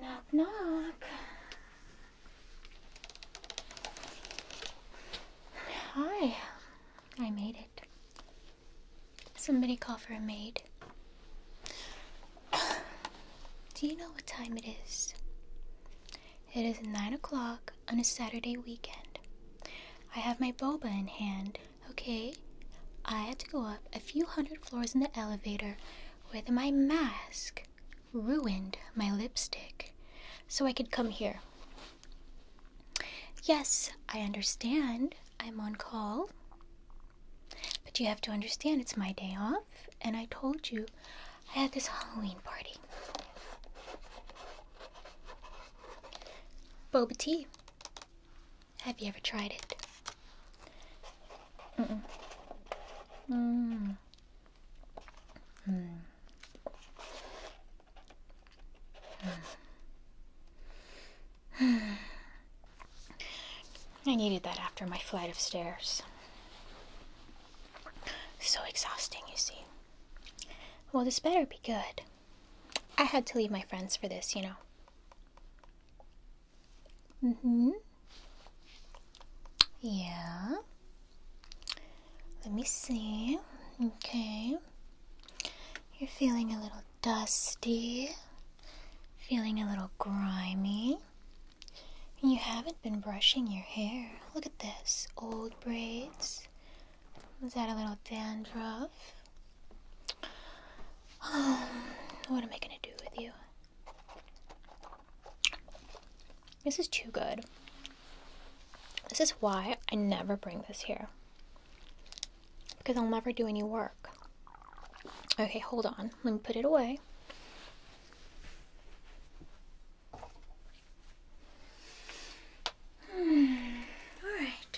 Knock, knock. Hi. I made it. Somebody call for a maid. Do you know what time it is? It is nine o'clock on a Saturday weekend. I have my boba in hand, okay? I had to go up a few hundred floors in the elevator with my mask ruined my lipstick so I could come here. Yes, I understand. I'm on call. But you have to understand it's my day off, and I told you I had this Halloween party. Boba tea. Have you ever tried it? Mm-mm. Mm. Mm. Mm. I needed that after my flight of stairs. So exhausting, you see. Well, this better be good. I had to leave my friends for this, you know. Mm hmm. Yeah. Let me see. Okay. You're feeling a little dusty, feeling a little grimy. You haven't been brushing your hair. Look at this old braids, was that a little dandruff? what am I gonna do with you? This is too good. This is why I never bring this here. Because I'll never do any work. Okay, hold on. Let me put it away. All right.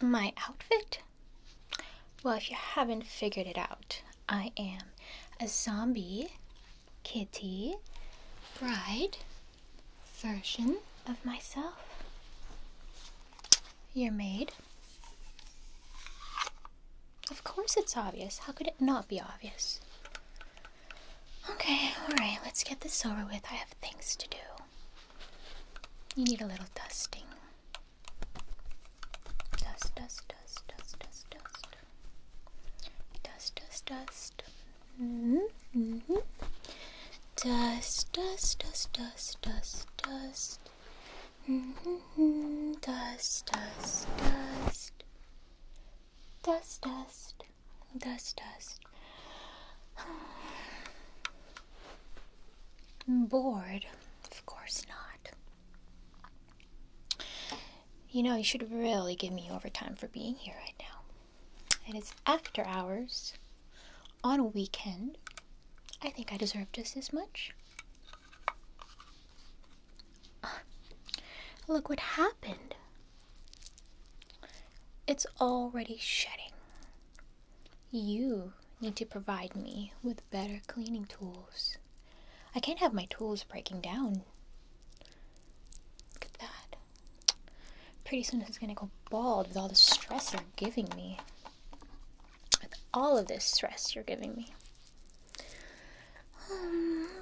My outfit? Well, if you haven't figured it out, I am a zombie, kitty, bride, version of myself. Your maid. Of course it's obvious. How could it not be obvious? Okay, alright, let's get this over with. I have things to do. You need a little dusting. Dust, dust, dust, dust, dust, dust. Dust, dust, dust. Mm hmm. Mm hmm. Dust, dust, dust, dust, dust, dust. Mm hmm. Dust, dust, dust. Dust, dust, dust, dust. Bored? Of course not. You know, you should really give me overtime for being here right now. It is after hours on a weekend. I think I deserve just as much. Look what happened. It's already shedding. You need to provide me with better cleaning tools. I can't have my tools breaking down. Look at that. Pretty soon it's gonna go bald with all the stress you're giving me. With all of this stress you're giving me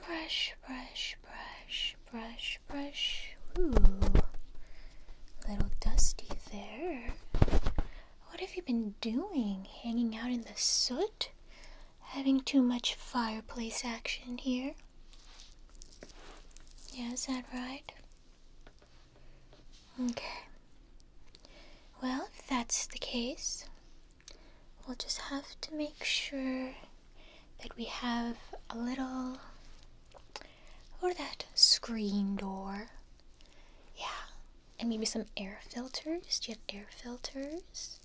brush, brush, brush, brush, brush. Ooh, little dusty there. What have you been doing? Hanging out in the soot? Having too much fireplace action here? Yeah, is that right? Okay. Well, if that's the case, We'll just have to make sure that we have a little or that screen door. Yeah. And maybe some air filters. Do you have air filters?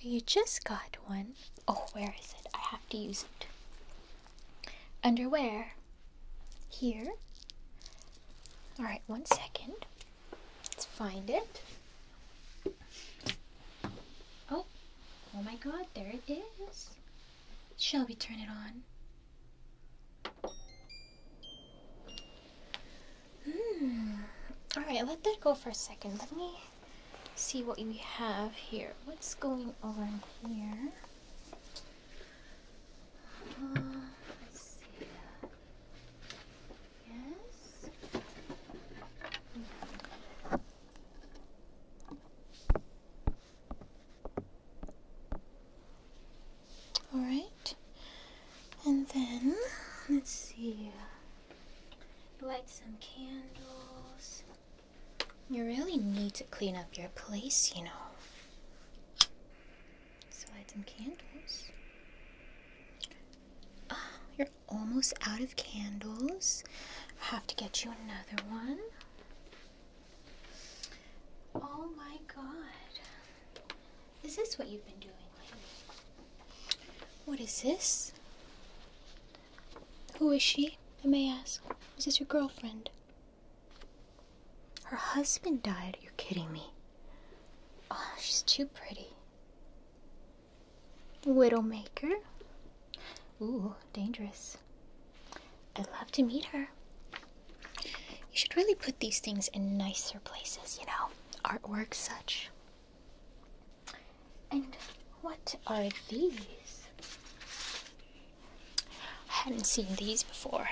You just got one. Oh, where is it? I have to use it. Underwear. Here. Alright, one second. Let's find it. Oh, oh my god, there it is. Shall we turn it on? Hmm. Alright, let that go for a second. Let me see what we have here. What's going on here? Uh, Yes. All right. And then let's see. Light some candles. You really need to clean up your place, you know. So light some candles. Oh, your almost out of candles. I have to get you another one. Oh my god. Is this what you've been doing lately? What is this? Who is she? I may ask. Is this your girlfriend? Her husband died. You're kidding me. Oh, she's too pretty. Widowmaker? Ooh, dangerous. I'd love to meet her. You should really put these things in nicer places, you know? Artwork, such. And what are these? I hadn't seen these before.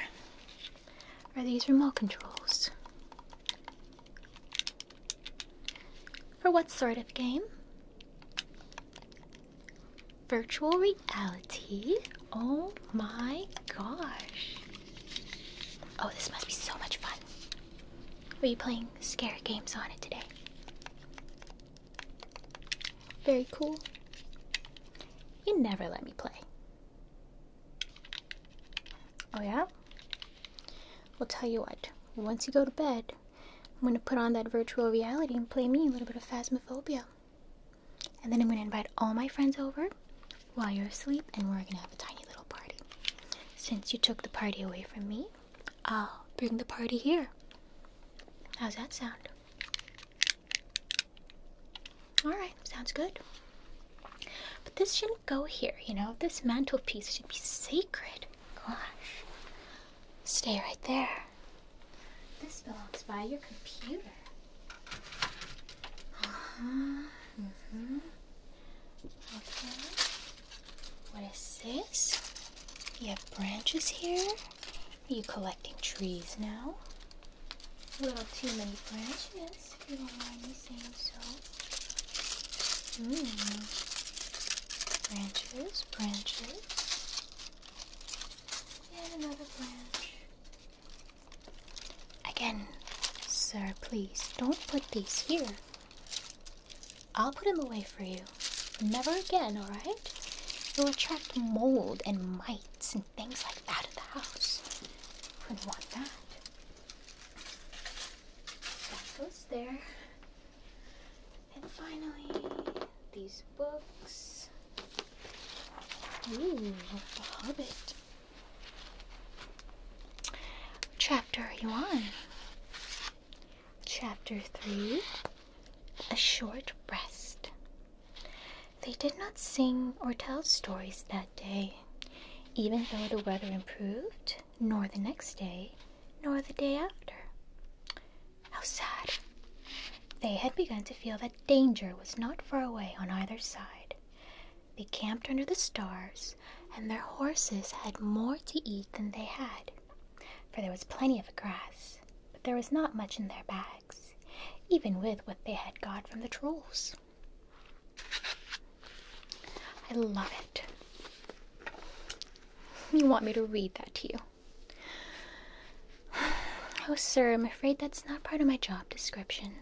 Are these remote controls? For what sort of game? Virtual reality? Oh my gosh. Oh, this must be so much fun. Are you playing scary games on it today? Very cool. You never let me play. Oh, yeah? Well, tell you what, once you go to bed, I'm gonna put on that virtual reality and play me a little bit of Phasmophobia. And then I'm gonna invite all my friends over while you're asleep and we're gonna have a tiny little party. Since you took the party away from me, I'll bring the party here. How's that sound? Alright, sounds good. But this shouldn't go here, you know? This mantelpiece should be sacred. Gosh. Stay right there. This belongs by your computer. Uh-huh. Mm-hmm. Okay. What is this? You have branches here? Are you collecting trees now? A little too many branches, you don't mind me so. Hmm. Branches, branches. Yet another branch. Again, sir, please don't put these here. I'll put them away for you. Never again, alright? You'll attract mold and mites and things like that at the house. Wouldn't want that. That goes there. And finally, these books. Ooh, The Hobbit. Chapter 1. Chapter 3 A Short Rest. They did not sing or tell stories that day. Even though the weather improved, nor the next day, nor the day after. How sad! They had begun to feel that danger was not far away on either side. They camped under the stars, and their horses had more to eat than they had, for there was plenty of grass, but there was not much in their bags, even with what they had got from the trolls. I love it. You want me to read that to you? Oh, sir, I'm afraid that's not part of my job description.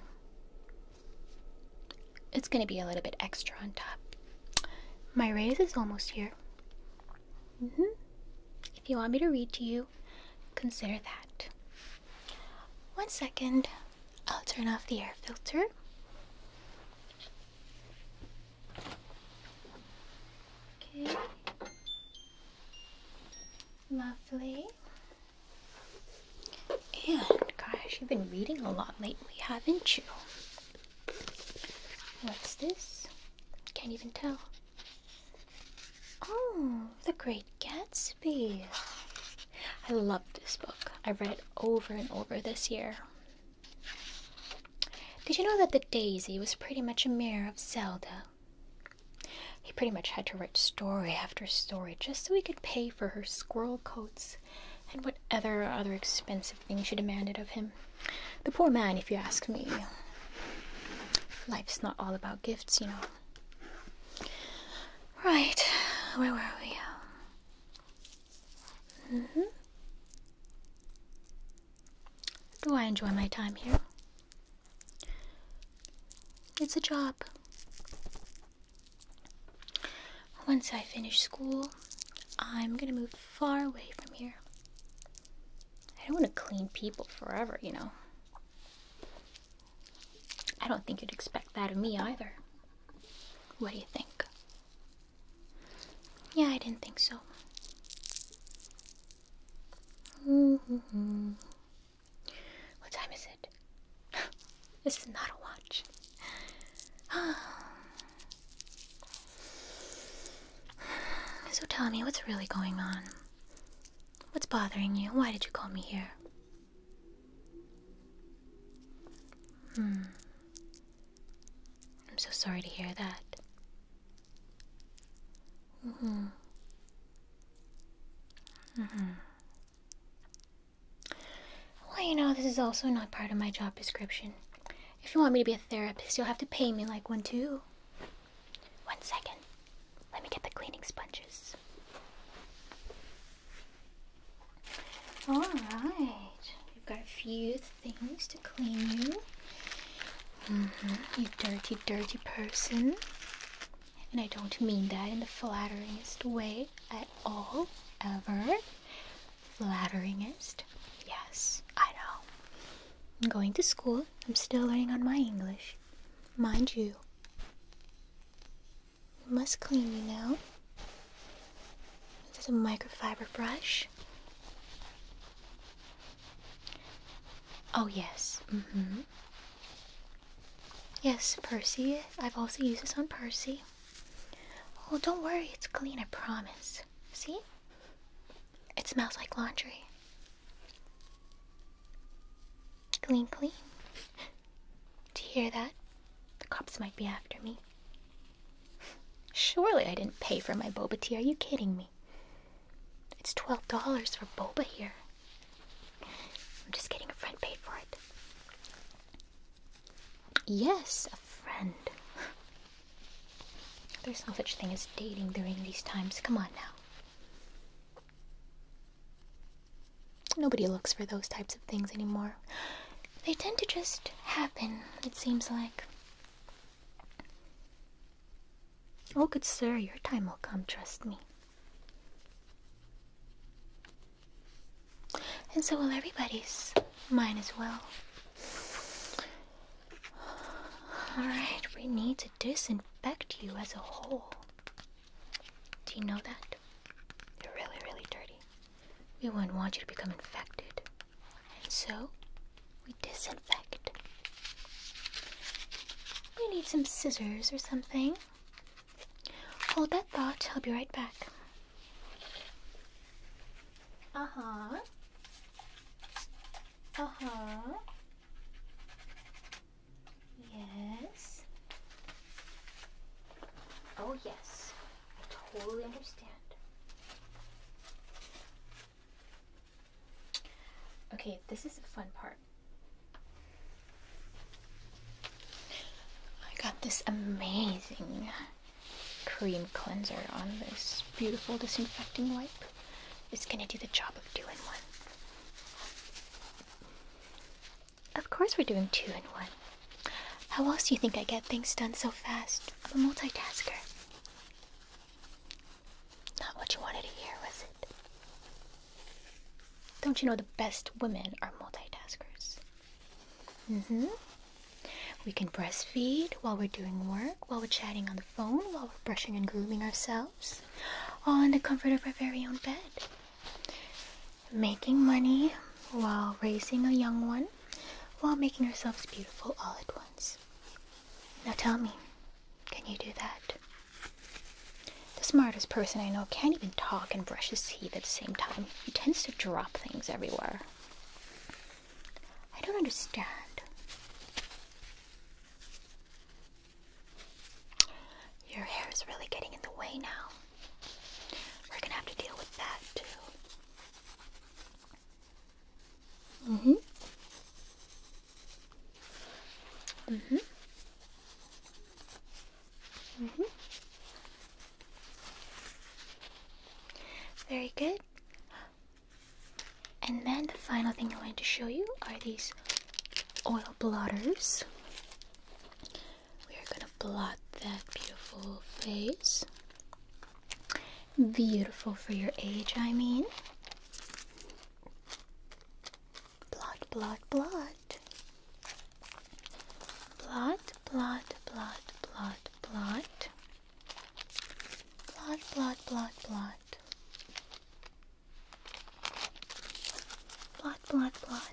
It's going to be a little bit extra on top. My raise is almost here. Mm-hmm. If you want me to read to you, consider that. One second, I'll turn off the air filter. Okay. Lovely. And gosh, you've been reading a lot lately, haven't you? What's this? Can't even tell. Oh, The Great Gatsby. I love this book. I read it over and over this year. Did you know that the daisy was pretty much a mirror of Zelda? He pretty much had to write story after story just so he could pay for her squirrel coats and whatever other other expensive things she demanded of him. The poor man, if you ask me. Life's not all about gifts, you know. Right, where were we? Do mm-hmm. I enjoy my time here? It's a job. Once I finish school, I'm gonna move far away from here. I don't wanna clean people forever, you know. I don't think you'd expect that of me either. What do you think? Yeah, I didn't think so. What time is it? this is not a watch. so tell me, what's really going on? What's bothering you? Why did you call me here? Hmm. I'm so sorry to hear that. hmm hmm Well, you know, this is also not part of my job description. If you want me to be a therapist, you'll have to pay me like one too. One second. Let me get the cleaning sponges. All right. I've got a few things to clean you. Mm-hmm. You dirty, dirty person. And I don't mean that in the flatteringest way at all, ever. Flatteringest? Yes, I know. I'm going to school. I'm still learning on my English. Mind you, you must clean you now into a microfiber brush. Oh, yes. Mm-hmm. Yes, Percy. I've also used this on Percy. Oh, don't worry, it's clean, I promise. See? It smells like laundry. Clean, clean. Do you hear that? The cops might be after me. Surely I didn't pay for my boba tea. Are you kidding me? It's $12 for boba here. I'm just getting A friend paid for it. Yes, a friend. There's no such thing as dating during these times. Come on now. Nobody looks for those types of things anymore. They tend to just happen, it seems like. Oh, good sir, your time will come, trust me. And so will everybody's. Mine as well. Alright, we need to disinfect you as a whole. Do you know that? You're really, really dirty. We wouldn't want you to become infected and so we disinfect. We need some scissors or something. Hold that thought, I'll be right back. Uh huh. Uh huh. Yes. Oh, yes. I totally understand. Okay, this is a fun part. I got this amazing cream cleanser on this beautiful disinfecting wipe. It's gonna do the job of doing one. Of course, we're doing two in one. How else do you think I get things done so fast? I'm a multitasker. Not what you wanted to hear, was it? Don't you know the best women are multitaskers? Mm hmm. We can breastfeed while we're doing work, while we're chatting on the phone, while we're brushing and grooming ourselves, all in the comfort of our very own bed. Making money while raising a young one, while making ourselves beautiful all at once. Now tell me, can you do that? The smartest person I know can't even talk and brush his teeth at the same time. He tends to drop things everywhere. I don't understand. Your hair is really getting in the way now. We're gonna have to deal with that too. Mhm. Mhm. Mhm. Very good. And then the final thing I wanted to show you are these oil blotters. We are gonna blot that beautiful face. Beautiful for your age, I mean. Blot, blot, blot. Blot, blot, blot, blot, blot. Blot, blot, blot, blot. Blot, blot, blot.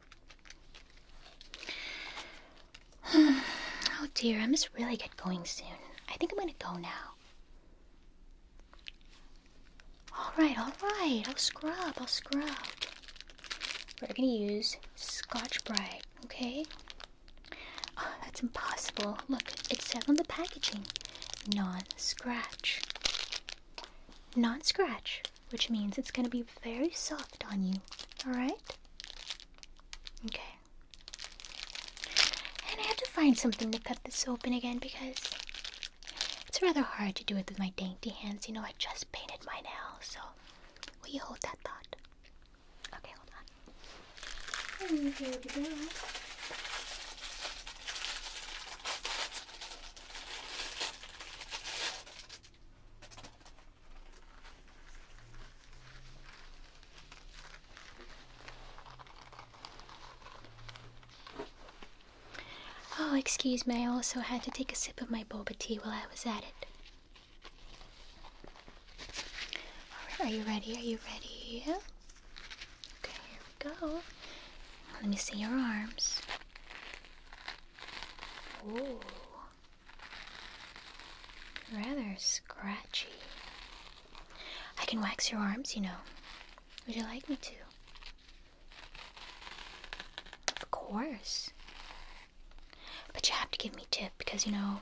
oh dear, I must really get going soon. I think I'm gonna go now. Alright, alright, I'll scrub, I'll scrub. We're gonna use Scotch Brite, okay? Oh, that's impossible. Look, it says on the packaging non scratch. Non scratch which means it's going to be very soft on you, alright? Okay. And I have to find something to cut this open again because it's rather hard to do it with my dainty hands. You know, I just painted my nail, so will you hold that thought? Okay, hold on. And here we go. Oh, excuse me, I also had to take a sip of my boba tea while I was at it. Alright, are you ready? Are you ready? Okay, here we go. Let me see your arms. Rather scratchy. I can wax your arms, you know. Would you like me to? Of course. But you have to give me tip because, you know,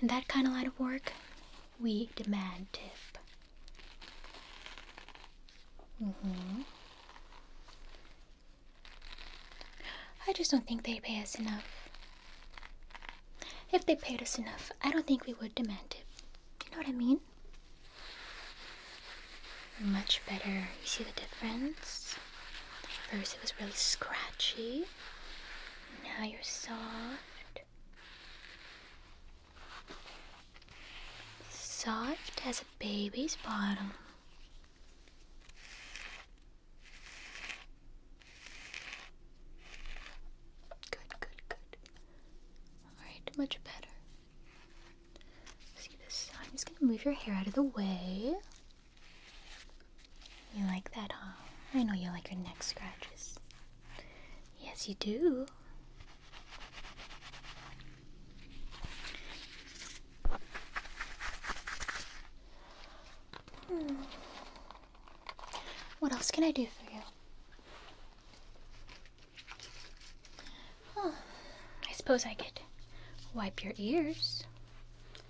in that kind of line of work, we demand tip. Mm hmm. I just don't think they pay us enough. If they paid us enough, I don't think we would demand it. You know what I mean? Much better. You see the difference? First it was really scratchy. Now you're soft. Soft as a baby's bottom. Good, good, good. Alright, much better. See this I'm just gonna move your hair out of the way. You like that, huh? I know you like your neck scratches. Yes, you do. Hmm. What else can I do for you? I suppose I could wipe your ears.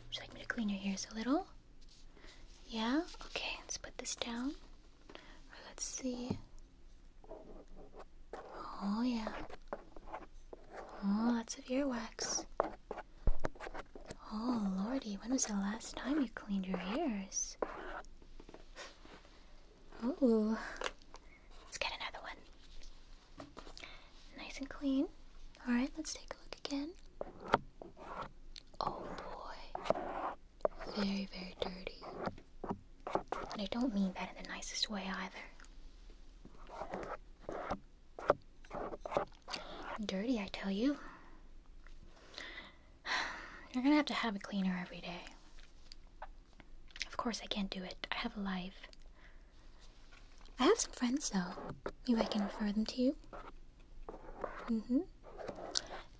Would you like me to clean your ears a little? Yeah? Okay, let's put this down. Let's see. Oh, yeah. Oh, lots of earwax. Oh, lordy, when was the last time you cleaned your ears? Oh, let's get another one. Nice and clean. Alright, let's take a look again. Oh boy. Very, very dirty. And I don't mean that in the nicest way either. Dirty, I tell you. You're gonna have to have a cleaner every day. Of course, I can't do it. I have a life. I have some friends, though. Maybe I can refer them to you. Mm hmm.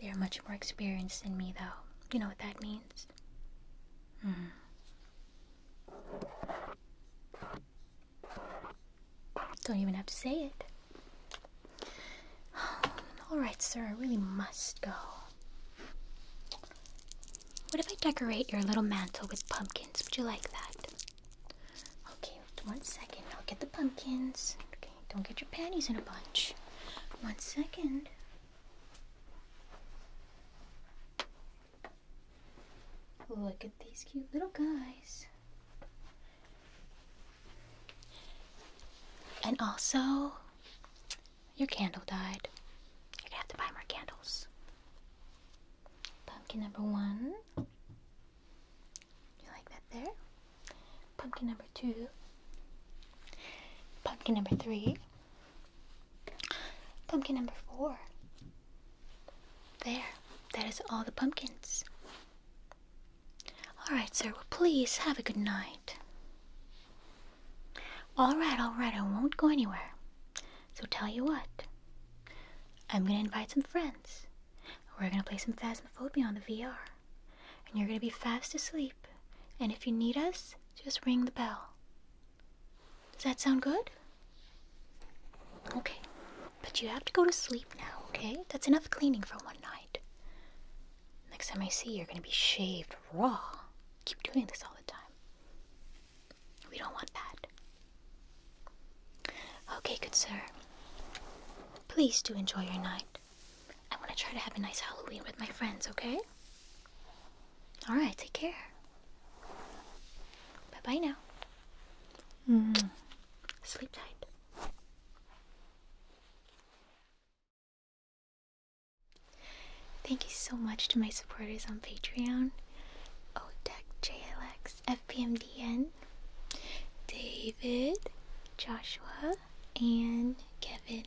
They are much more experienced than me, though. You know what that means? Mm. Don't even have to say it. All right, sir, I really must go. What if I decorate your little mantle with pumpkins? Would you like that? Okay, one second. I'll get the pumpkins. Okay, don't get your panties in a bunch. One second. Look at these cute little guys. And also, your candle died. You're gonna have to buy more candles. Pumpkin number one. You like that there? Pumpkin number two. Pumpkin number three. Pumpkin number four. There, that is all the pumpkins. All right, sir, please have a good night. All right, all right, I won't go anywhere. So tell you what, I'm gonna invite some friends. We're gonna play some Phasmophobia on the VR. And you're gonna be fast asleep. And if you need us, just ring the bell. Does that sound good? Okay. But you have to go to sleep now, okay? That's enough cleaning for one night. Next time I see you, you're gonna be shaved raw. Keep doing this all the time. We don't want that. Okay, good sir. Please do enjoy your night. I'm gonna try to have a nice Halloween with my friends, okay? Alright, take care. Bye bye now. Mm-hmm. Sleep tight. Thank you so much to my supporters on Patreon Otech JLX, FPMDN, David, Joshua, and Kevin.